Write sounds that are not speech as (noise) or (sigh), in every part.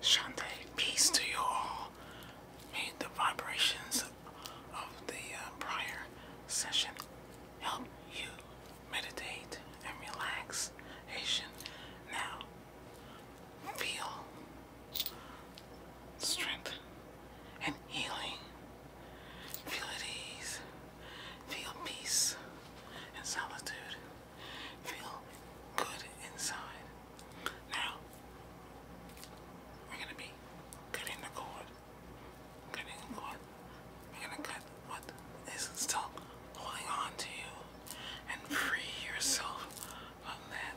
Shantae, peace to you all. May the vibrations of the uh, prior session help you meditate and relax. Asian, now feel strength and healing. Feel at ease. Feel peace and solitude feel good inside. Now, we're gonna be cutting the cord. Cutting the cord. We're gonna cut what is still holding on to you and free yourself of that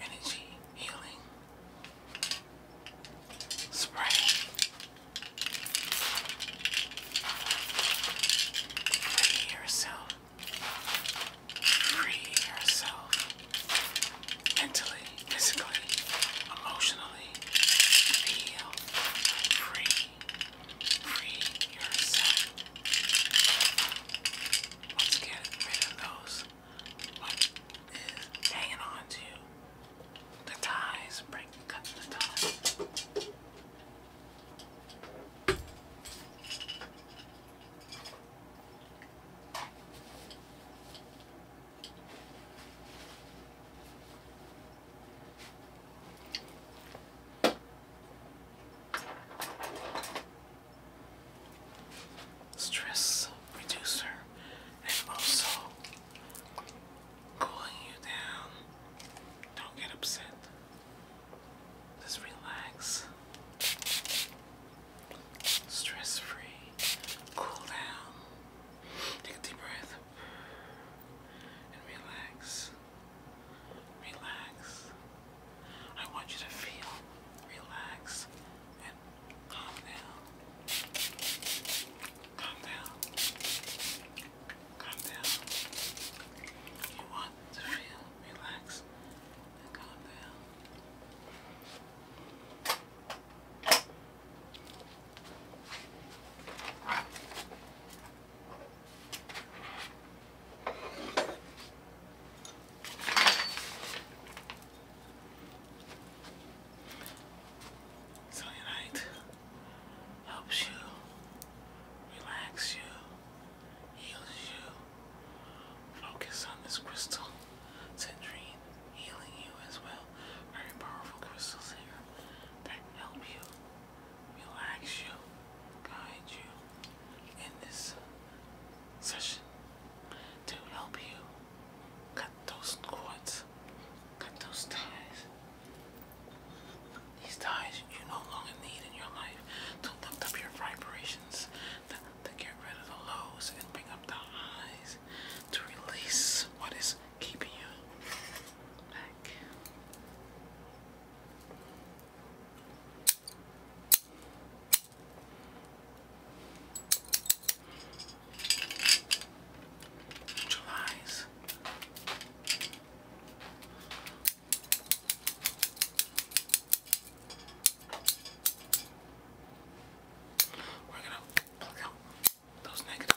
energy healing spray. Free yourself. Free yourself. Mentally, physically, emotionally. Feel free. Free yourself. Once again, rid of those what is hanging on to the ties, break cut the ties stress reducer and also cooling you down. Don't get upset. Just relax. Stress free. Cool down. Take a deep breath and relax relax. I want you to feel relaxed and calm down. Calm down. Calm down. You want to feel relaxed and calm down. Cellulite helps you, relax you, heals you. Focus on this crystal, citrine, healing you as well. Very powerful crystals here that help you relax you, guide you in this session to help you cut those cords, cut those ties. These ties you no longer need in your life to lift up your vibrations, to, get rid of the lows and bring up the highs, to release what is keeping you back. July's. We're gonna pluck out those negative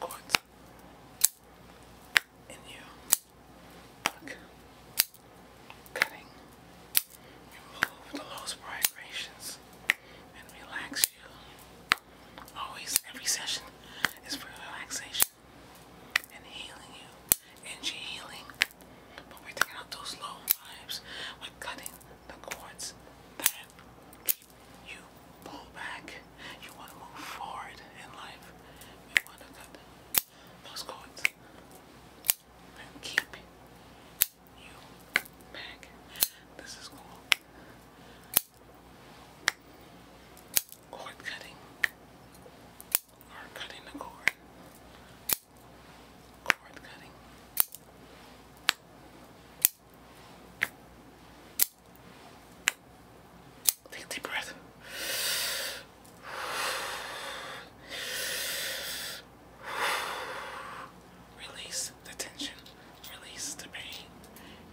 chords and you look cutting remove the vibrations and relax you always every session is for relaxation and healing you energy healing but we're taking out those low vibes we cutting the cords you pull back. You want to move forward in life. We want to cut those cords and keep you back. This is cool. cord cutting or cutting the cord. Cord cutting. Take a deep breath. Release the tension, release the pain.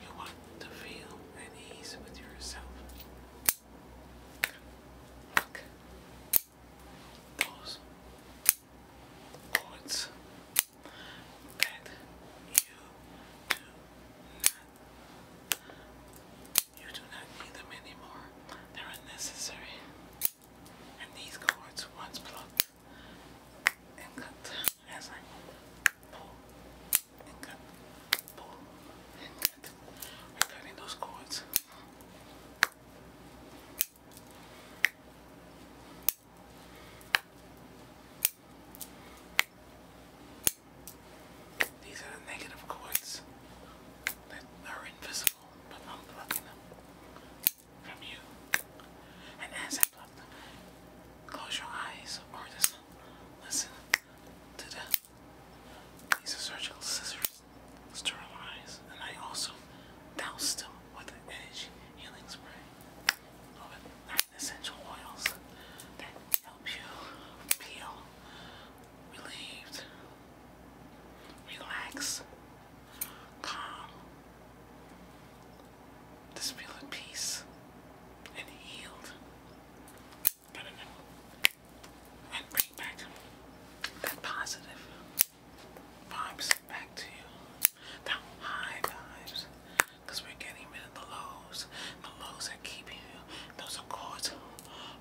You want to feel at ease with yourself. Look. Those thoughts that you do not you do not need them anymore. They're unnecessary. And these cords once plucked and cut as I pull and cut, pull and cut. We're cutting those cords. These are the negative cords that are invisible, but I'm plucking them from you. And as I pluck them, close your eyes or just listen to the. These are surgical scissors, sterilize, and I also douse them with energy healing spray. Love it essential oils that help you feel relieved, relax, calm, just feel at peace and healed. And bring back that positive vibes back to you the high vibes because we're getting rid of the lows. The lows are keeping you, those are cords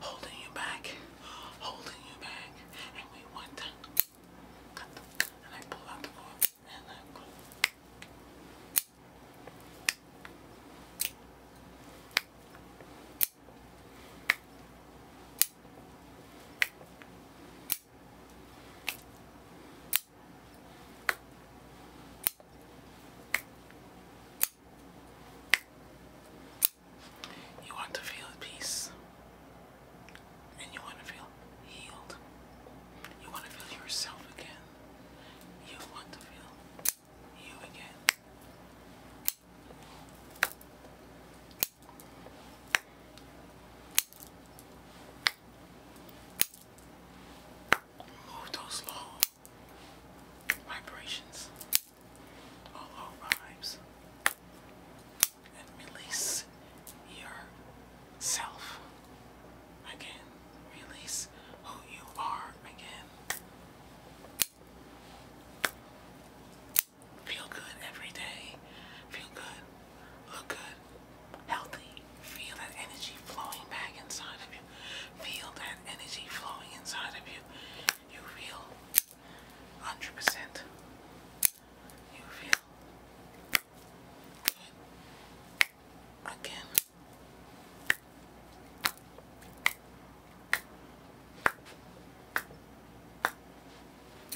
holding you back, holding you back. And we want cut them. And I pull out the cord and I go. You want to feel at peace. And you want to feel healed. You want to feel yourself again. You want to feel you again. Move those low vibrations, all low vibes, and release yourself again. Release who you are again. Feel good every day. Feel good Look good, healthy. Feel that energy flowing back inside of you. Feel that energy flowing inside of you. You feel 100%. You feel good. Again.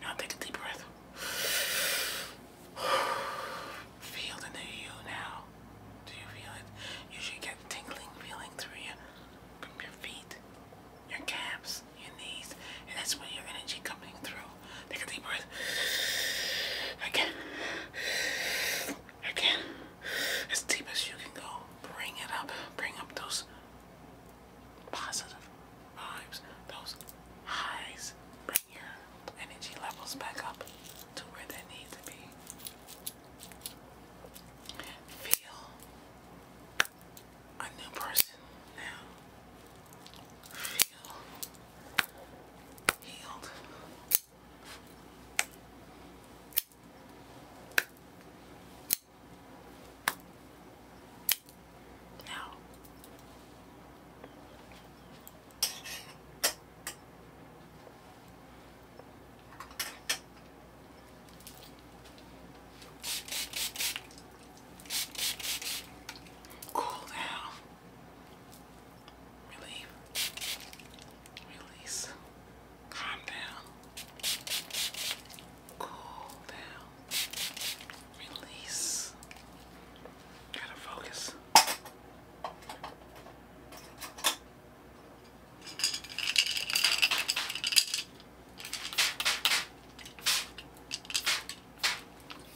Now take a deep breath. (sighs) Feel the new you now. Do you feel it? You should get tingling feeling through your, from your feet, your calves, your knees, and that's when your energy coming through. Take a deep breath. Again. Again. As deep as you can go. Bring it up. Bring up those positive vibes, those highs, bring your energy levels back up to where they need to be. Feel a new person now. Feel healed. Now, cool down, relieve, release. Calm down. Cool down. Release. Gotta focus.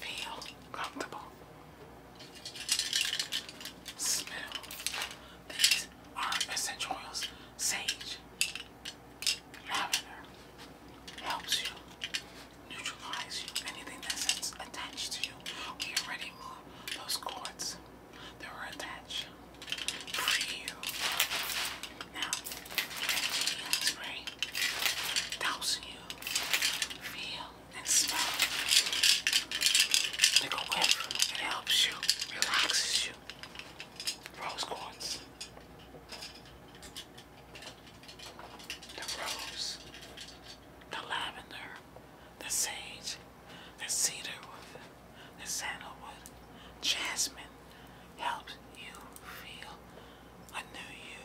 Feel comfortable. Smell these are essential oils. Sage, lavender, helps you neutralize Anything that's attached to you, we already moved those cords that were attached for you. Now, that spray helps you feel and smell. Take a whiff. It helps you relaxes you. Rose quartz. The rose, the lavender, the sage, the cedar wood, the sandalwood, jasmine helps you feel a new you.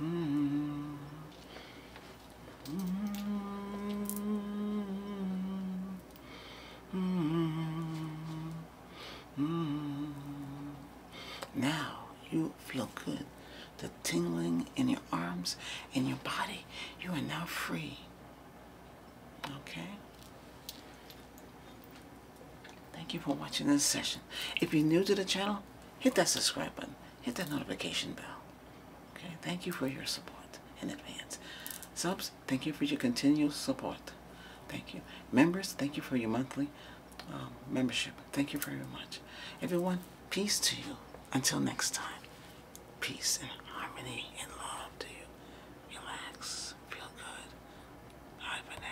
Now you feel good. The tingling in your arms, in your body, you are now free. Okay? Thank you for watching this session. If you're new to the channel, hit that subscribe button, hit that notification bell. Okay, thank you for your support in advance. Subs, thank you for your continual support. Thank you. Members, thank you for your monthly um, membership. Thank you very much. Everyone, peace to you. Until next time, peace and harmony and love to you. Relax, feel good. Bye for now.